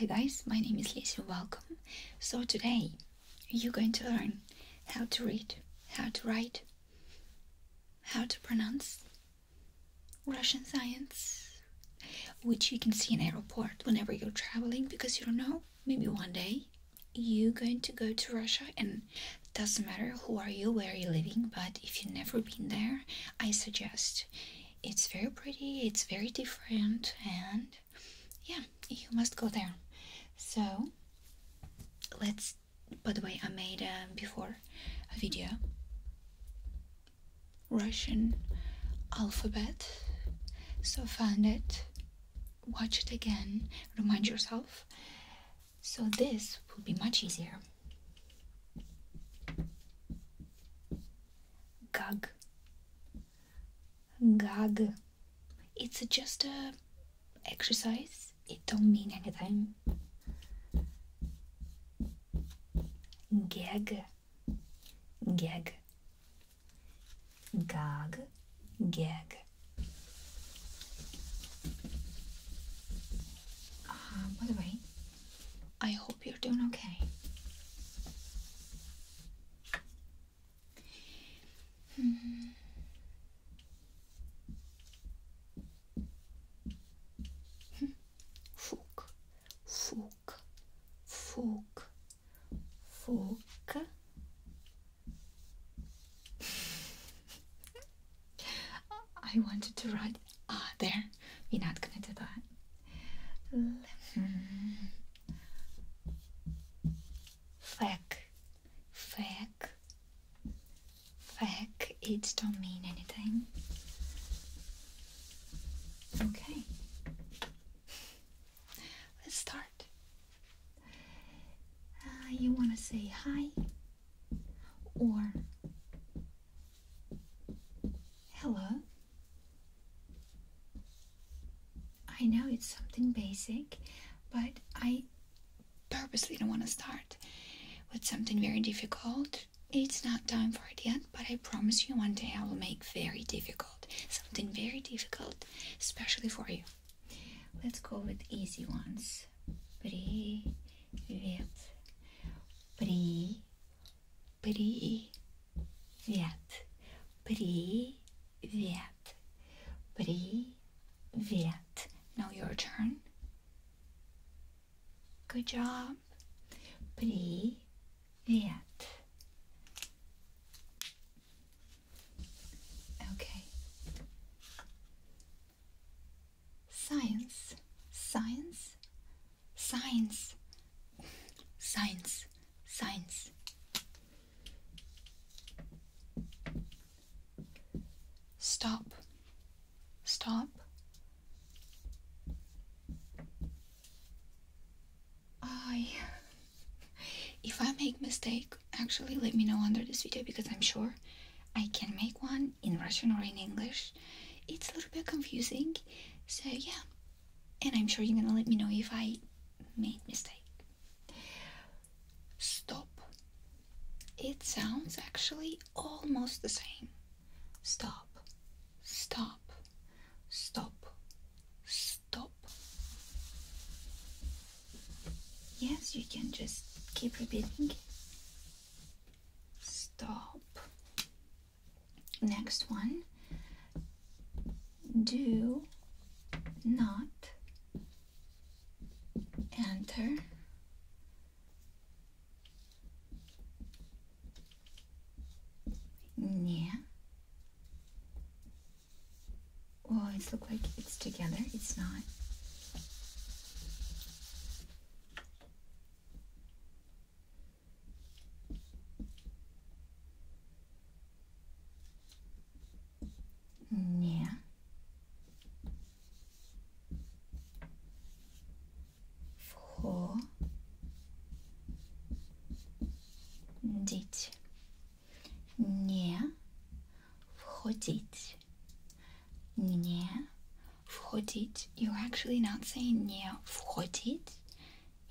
Hi guys, my name is Lisa. welcome. So today you're going to learn how to read, how to write, how to pronounce Russian science, which you can see in airport whenever you're traveling because you don't know, maybe one day you going to go to Russia and doesn't matter who are you, where you're living, but if you never been there, I suggest. It's very pretty, it's very different, and yeah, you must go there. So let's by the way I made um, before a video Russian alphabet so find it watch it again, remind yourself. So, this will be much easier. Gag. Gag. It's just a exercise. It don't mean anything. Gag. Gag. Gag, gag. Uh, by the way, I hope you're doing okay. Hmm. hmm. Fuk, fuk, fork I wanted to write ah there you're not gonna do that Fack, fack, fack. It don't mean anything. Okay. Let's start. Uh, you want to say hi or hello? I know it's something basic, but I purposely don't want to start with something very difficult. It's not time for it yet, but I promise you one day I will make very difficult something very difficult, especially for you. Let's go with easy ones. Привет. При. Привет. Привет. Привет. Now your turn. Good job. Привет. Okay. Science, science, science, science, science. Stop, stop. I if I make mistake, actually let me know under this video because I'm sure I can make one in Russian or in English. It's a little bit confusing. So yeah. And I'm sure you're gonna let me know if I made mistake. Stop. It sounds actually almost the same. Stop. Stop. Stop. Stop stop. Yes, you can just keep repeating. Stop. Next one. Do not enter near well, it's look like it's together. It's not. Yeah. Four. Ditch. Не входить. Не входить. You're actually not saying не входить.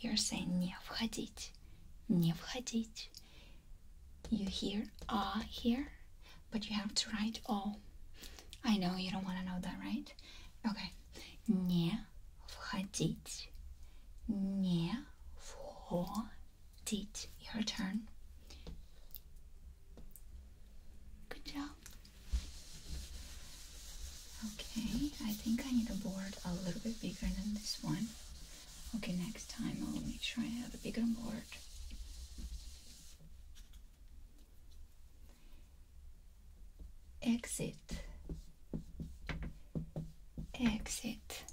You're saying не входить. Не входить. You hear а ah, here, but you have to write all. I know you don't want to know that, right? Okay. Не входить. Не входить. Teach, your turn. Good job. Okay, I think I need a board a little bit bigger than this one. Okay, next time I'll make sure I have a bigger board. Exit. Exit.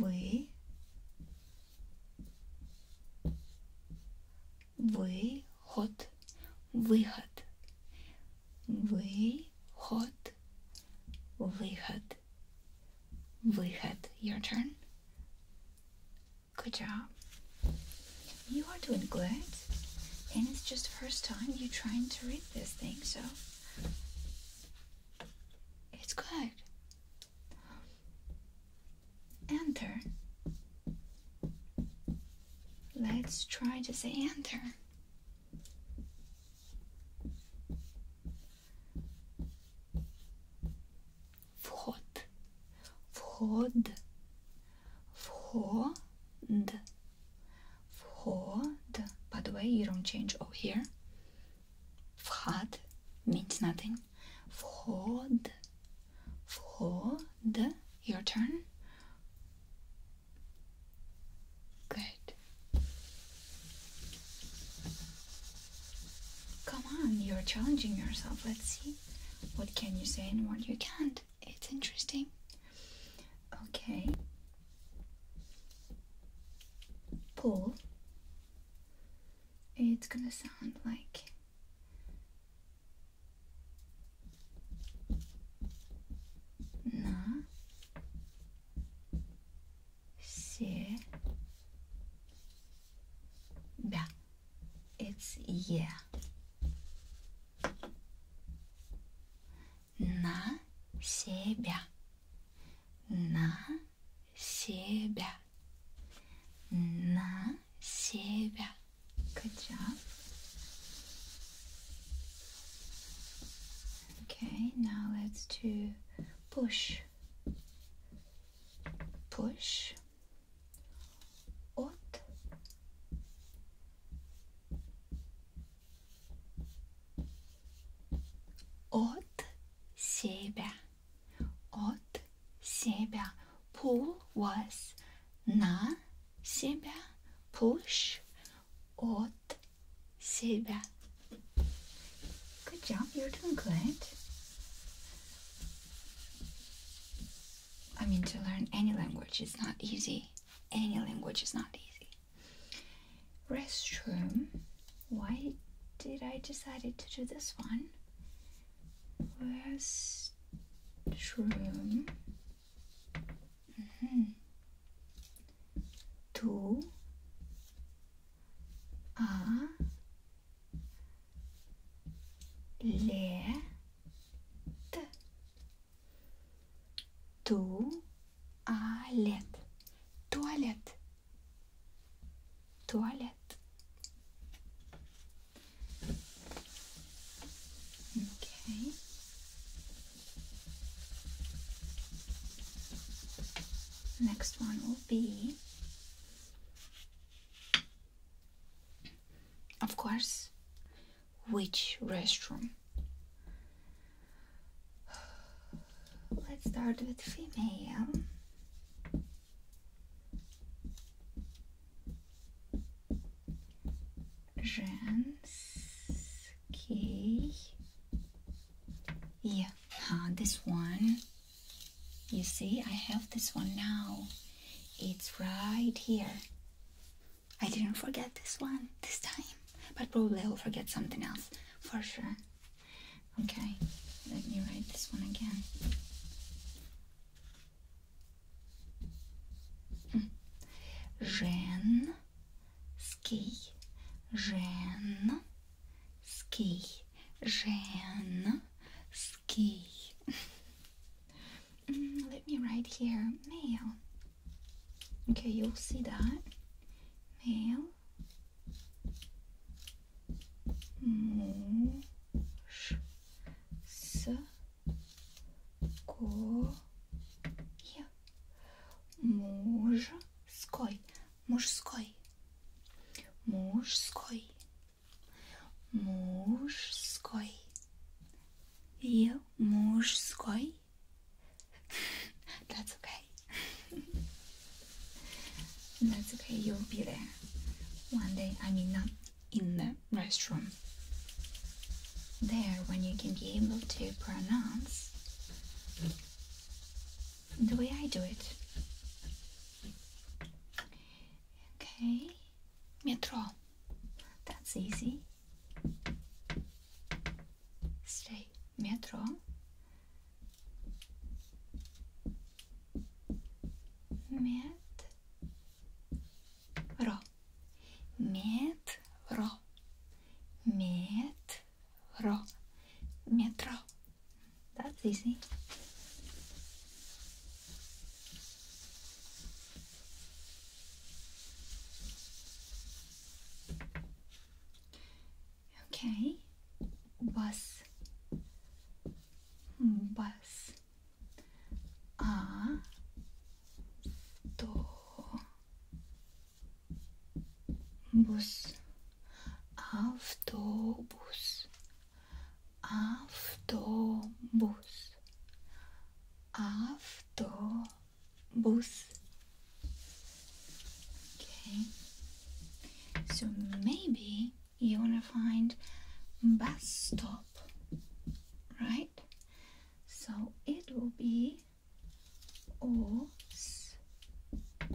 We, we, вы выход we, hot, выход выход your turn good job you are doing good and it's just first time you trying to read this thing so it's good. Enter. Let's try to say enter. Вход. Вход. Вход. Вход, by the way, you don't change over here. Вход means nothing. Вход, вход, your turn. Good. Come on, you're challenging yourself. Let's see what can you say and what you can't. It's interesting. Okay. Pull. It's gonna sound like. Na. Se. Ba. It's yeah на себя, на себя, на себя. Good job. Okay, now let's do push, push. От От себя. От себя. Pull was на себя. Push от себя. Good job, you're doing great. I mean, to learn any language is not easy. Any language is not easy restroom. Why did I decided to do this one? Restroom. Mm -hmm. To a let туалет, туалет, Toilet. Okay. Next one will be, of course, which restroom? Let's start with female. Женский. Yeah, huh, this one. You see, I have this one now. It's right here. I didn't forget this one this time, but probably I'll forget something else for sure. Okay, let me write this one again. ski, ski, женский, ski. Mm, let me write here male. Okay, you'll see that. Male. Муж. С. Ко. Е. Мужской. Мужской. Мужской. Мужской. И мужской. That's okay. That's okay, you'll be there. One day, I mean, not in the restroom. There, when you can be able to pronounce the way I do it. Okay, metro. That's easy stay metro metro metro metro metro that's easy Okay. Bus. Bus. A. Do. Bus. Autobus. Autobus. Autobus. Both. Okay, so maybe you want to find bus stop, right? So it will be O sta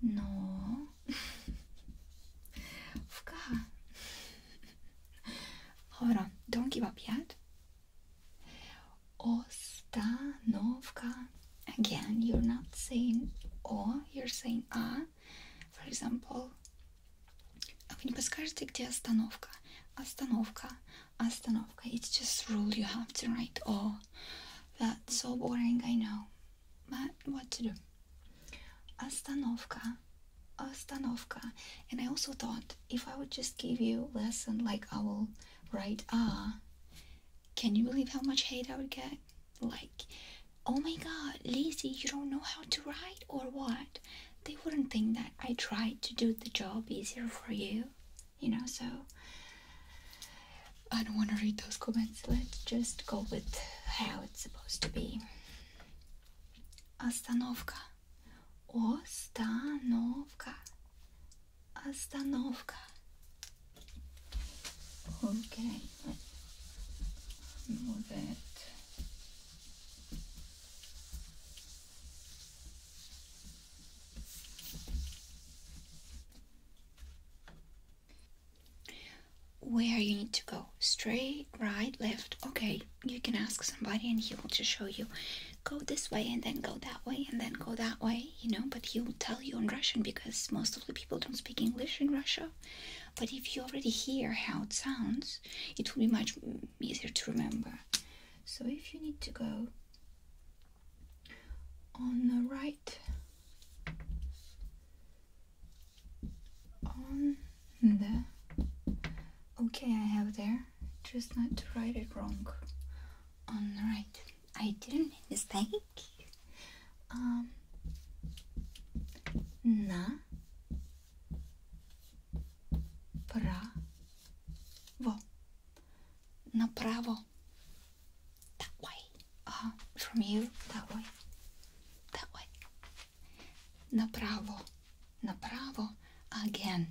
no Hold on, don't give up yet. Ostanovka. Again, you're not saying O, you're saying A. For example, а вы не подскажете, где остановка? Остановка, остановка. It's just rule you have to write O. That's so boring, I know. But what to do? Остановка, остановка. And I also thought if I would just give you lesson like I will write ah, can you believe how much hate I would get? Like, oh my god, Lizzie, you don't know how to write or what? They wouldn't think that I tried to do the job easier for you, you know. So I don't want to read those comments. Let's just go with how it's supposed to be. Остановка. Остановка. Остановка. Okay. Move it. Where you need to go. Straight, right, left. Okay, you can ask somebody and he will just show you go this way and then go that way and then go that way, you know. But he will tell you in Russian because most of the people don't speak English in Russia. But if you already hear how it sounds, it will be much easier to remember. So if you need to go on the right, on the okay, I have there just not to write it wrong. Alright, I didn't make mistake. Um, на право. Направо. That way. Uh, from you, that way. That way. Направо. Направо. Again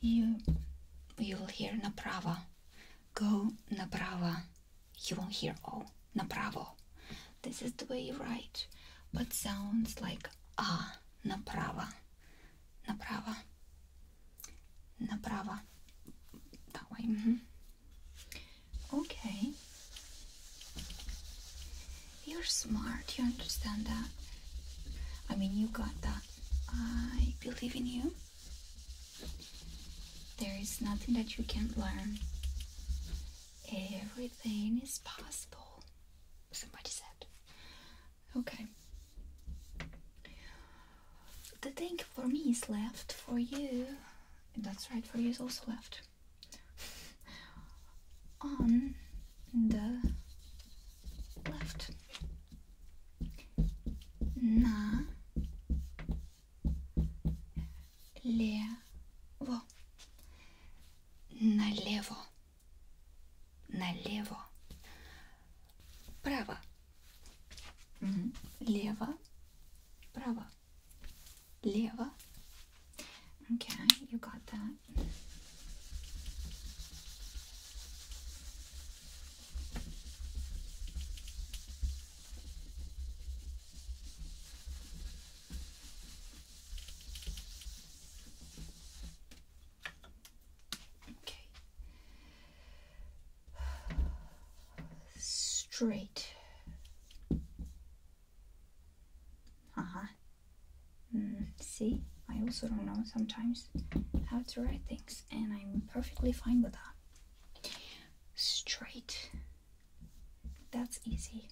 you you'll hear napravo. Go napravo. You won't hear oh napravo. This is the way you write, but sounds like ah napravo, napravo, napravo. That way. Mm-hmm. Okay. You're smart. You understand that. I mean, you got that. I believe in you. There is nothing that you can't learn. Everything is possible. Somebody said. Okay. The thing for me is left for you. that's right, for you is also left. On the left на лево, налево, налево, право, угу. лево, право, лево. Okay, you got that. Okay. Straight. Uh uh-huh. huh. Hmm, see, I also don't know sometimes how to write things, and I'm perfectly fine with that. Straight. That's easy.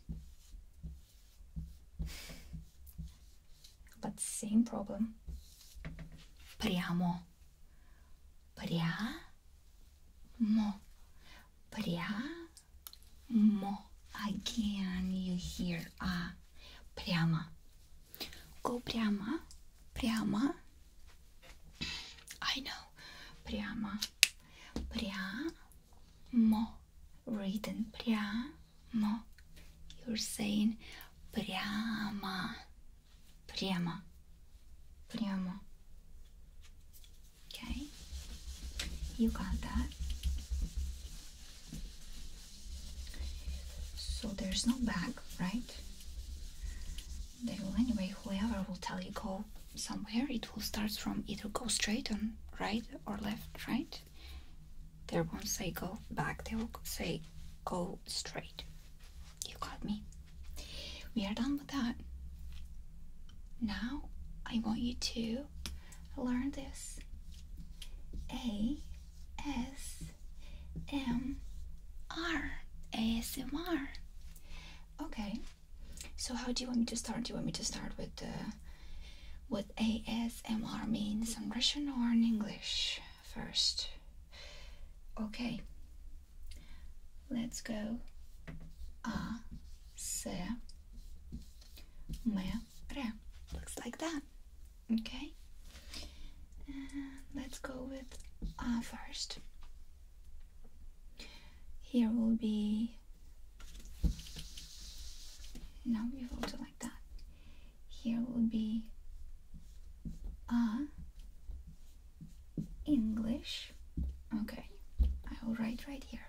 But same problem. Прямо. Прямо. Прямо. Again, you hear a ah, Прямо. Go прямо, прямо. I know. Прямо. Прямо. Written прямо. You're saying прямо. Прямо. Прямо. Okay. You got that. So there's no back, right? They anyway, whoever will tell you go somewhere, it will start from either go straight on right or left, right? They won't say go back, they will say go straight. You got me? We are done with that. Now I want you to learn this. A S ASMR. Okay. So how do you want me to start? Do you want me to start with uh, what ASMR means in Russian or in English first? Okay. Let's go. A S M R. Looks like that. Okay, let's go with ah first. Here will be now we fold it like that. Here will be ah English. Okay, I will write right here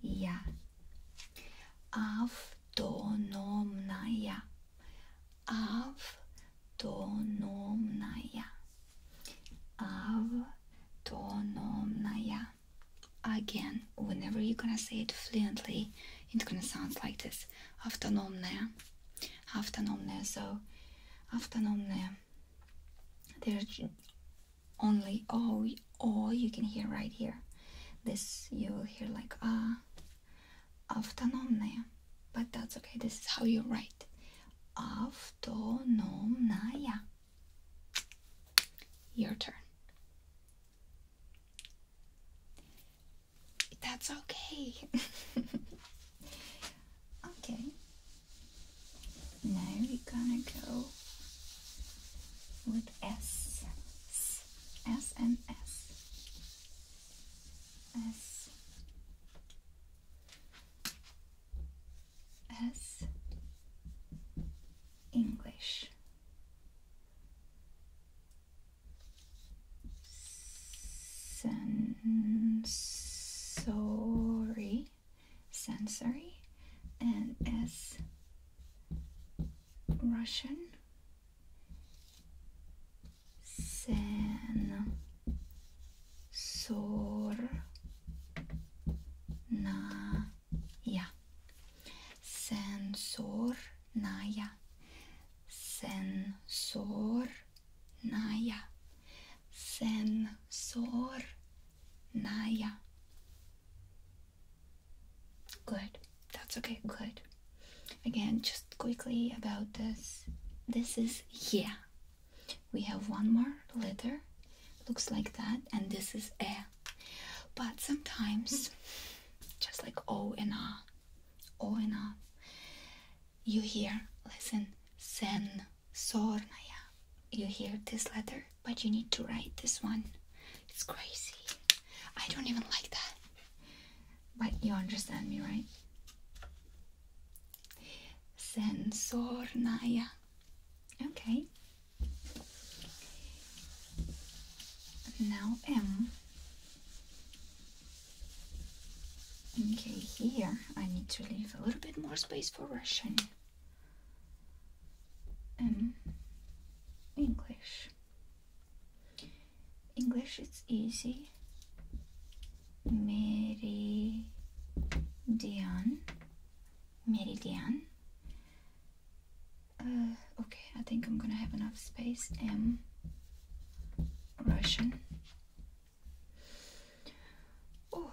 Я. Автономная. Автономная. Автономная. Again, whenever you're gonna say it fluently, it's gonna sound like this. Автономная. Автономная. So, автономная. There's only oh oh you can hear right here this you will hear like ah автономная but that's okay this is how you write автономная your turn that's okay okay now we're gonna go with S, S, S and S, S, S, English. Sen sorry sensory and as Russian sen sor na ya sensor naya sensor naya sensor Naya. Good. That's okay. Good. Again, just quickly about this. This is yeah. We have one more letter. Looks like that. And this is a. But sometimes, just like o and a, o and a, you hear, listen, sen. Sornaya. You hear this letter, but you need to write this one. It's crazy. I don't even like that. But you understand me, right? Sensornaya. Okay. Now M. Okay, here I need to leave a little bit more space for Russian um, English. English it's easy. Meridian. Meridian. Uh, okay, I think I'm gonna have enough space. M. Russian. Oh,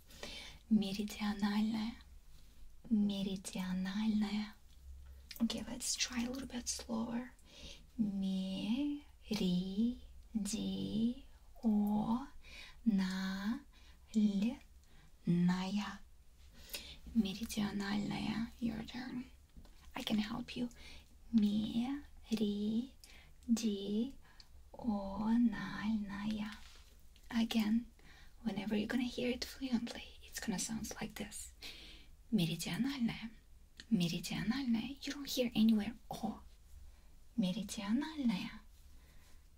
Meridionalная. Meridionalная. Okay, let's try a little bit slower. Меридиональная. Meridionalная. Your turn. I can help you. Меридиональная. Again, whenever you're gonna hear it fluently, it's gonna sound like this. Meridionalne. Meridionalne. You don't hear anywhere O. Oh. Meridionalne.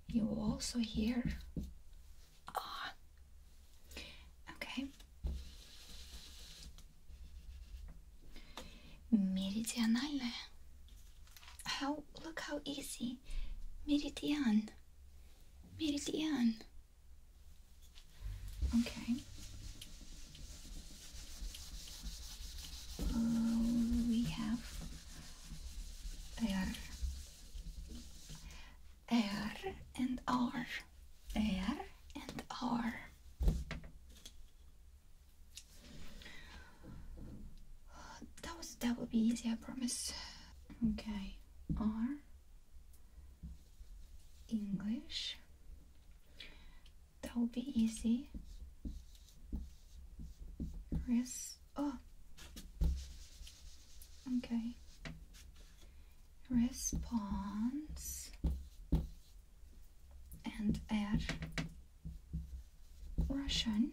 You also hear ah. Okay. Meridionalne. How look how easy. Meridian. Meridian. Okay. Uh, we have air, air and R, air and R. That was that will be easy, I promise. Okay, R. English. That will be easy. Res oh okay response and add Russian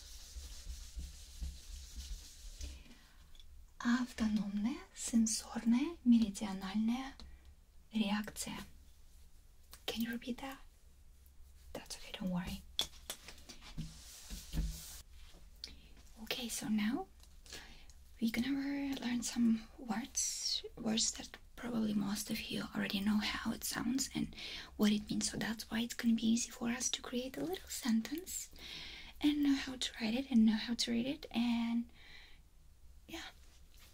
Автономная сенсорная меридиональная реакция. Can you repeat that? That's okay, don't worry. Okay, so now we're gonna learn some words, words that probably most of you already know how it sounds, and what it means. So that's why it's going to be easy for us to create a little sentence and know how to write it and know how to read it. And yeah,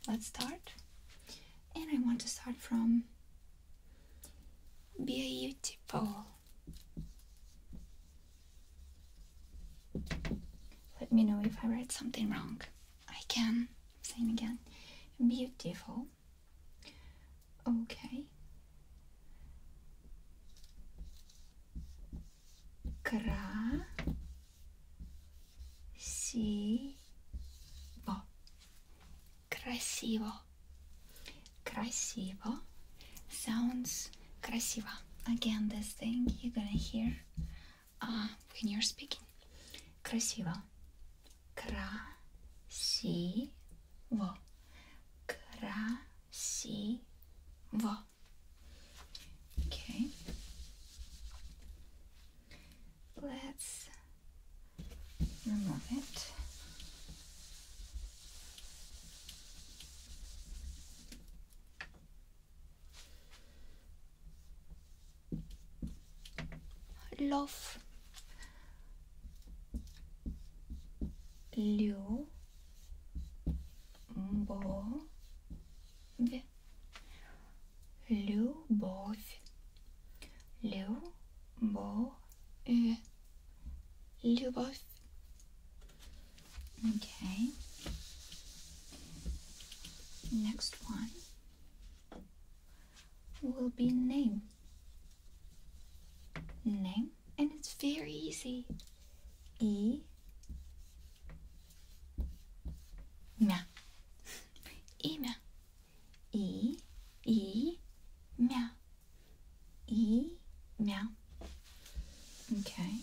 let's start. And I want to start from Be beautiful. Let me know if I write something wrong. I can sing again. Beautiful well. Okay. Кра си -во. Красиво. Красиво. Sounds красиво. Again, this thing you're gonna hear uh, when you're speaking. Красиво. Красиво. Красиво. Okay. Let's remove it. Love любовь, любовь, любовь, любовь. Okay. Next one will be name name, and it's very easy. E. Mia. E mia. E. E. Mia. E. Mia. Okay.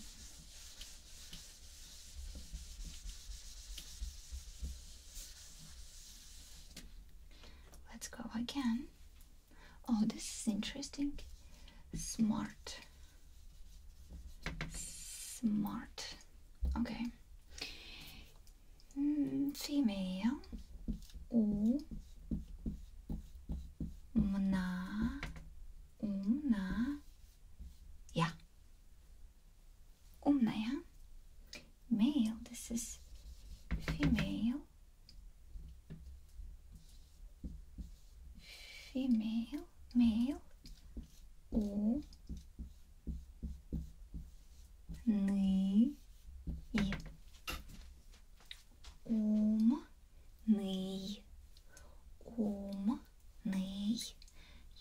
Let's go again. Oh, this is interesting. Smart. Smart. Okay. Mm, female. У. Мна. Умна. Я. Умная. Male. This is female female, male, у, ны, и, ум, ный, ум,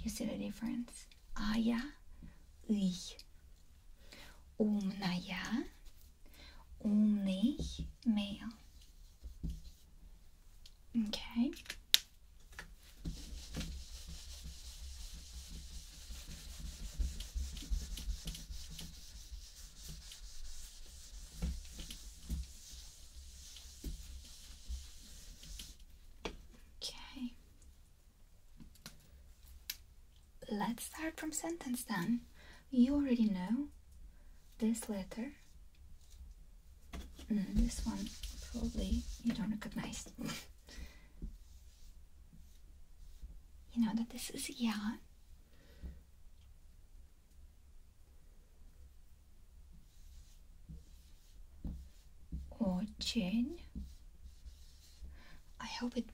You see the difference? Ая, ый. Умная, only male. Okay. Okay. Let's start from sentence then. You already know this letter. Mm, this one probably you don't recognize. you know that this is or Очень. I hope it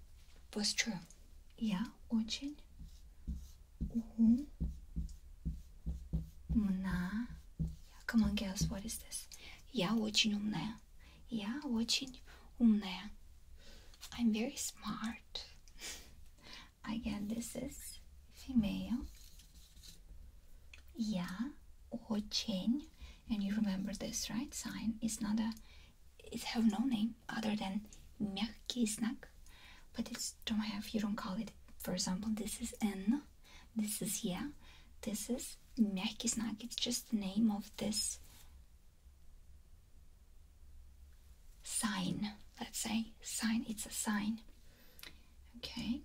was true. Хорошо. Я очень умна. Come on, girls, what is this? Я очень умная. Я очень умная. I'm very smart. Again, this is female. Я очень. And you remember this, right? Sign is not a it have no name other than мягкий snack, but it's don't have you don't call it. For example, this is N, this is yeah, this is мягкий snack. It's just the name of this sign. Let's say sign. It's a sign. Okay.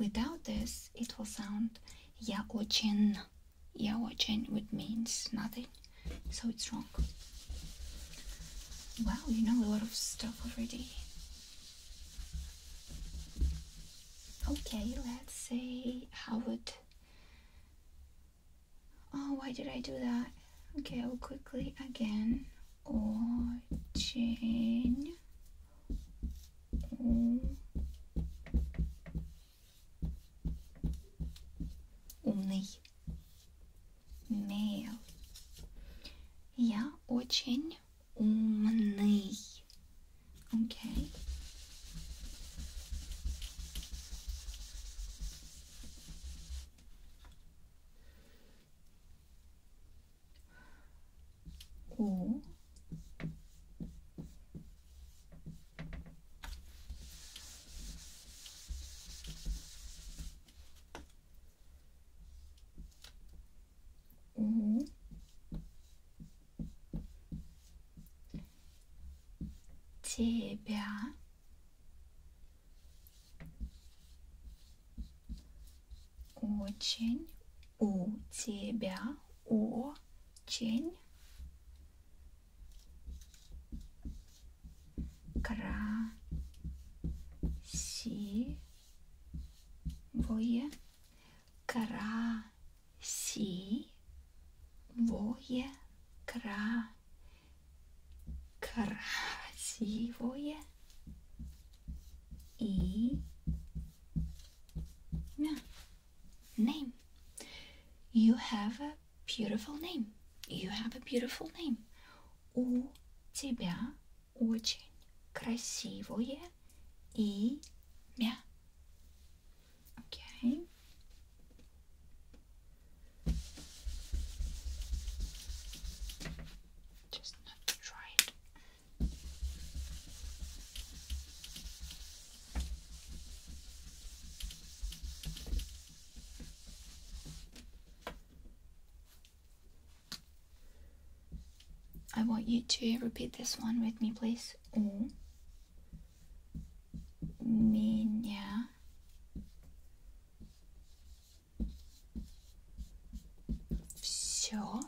Without this, it will sound я очень, я очень, which means nothing so it's wrong. Wow, you know a lot of stuff already. Okay, let's say Howard. Oh, why did I do that? Okay, I'll quickly again. Очень умный. Mail. Я очень умный. Окей. Okay. У Угу. Тебя очень у тебя очень красивое, красивое, кра, красивое и name. You have a beautiful name. You have a beautiful name. У тебя очень красивое имя. Okay. Just not try it. I want you to repeat this one with me, please. У меня все.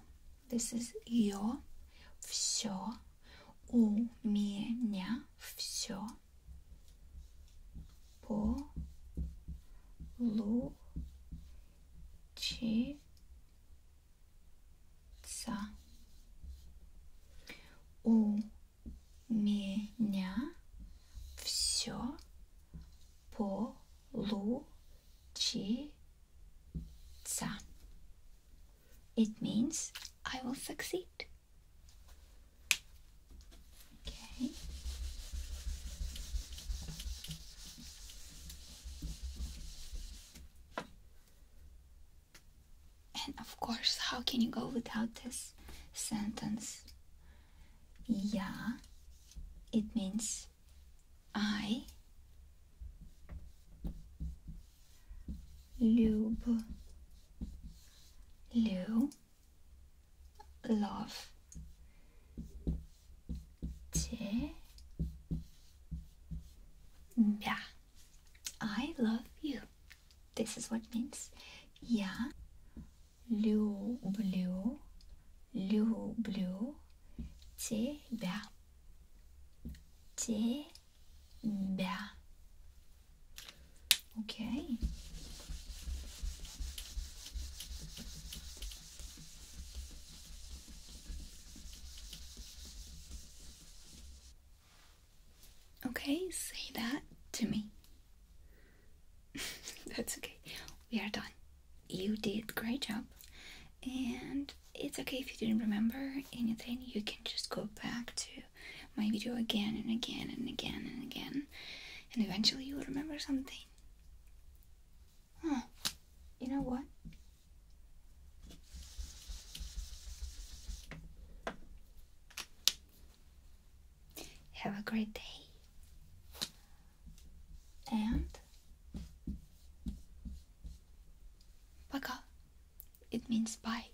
This is your все. У меня все po lu ci ca. У меня все получится. It means I will succeed. Okay. And of course, how can you go without this sentence? Yeah, it means I lube, lube love yeah I love you this is what means yeah люблю люблю тебя тебя Okay. Okay, say that to me. That's okay. We are done. You did great job. And it's okay if you didn't remember anything. You can just go back to my video again and again and again and again. And eventually you'll remember something Huh. You know what? Have a great day. And Paka. It means bye.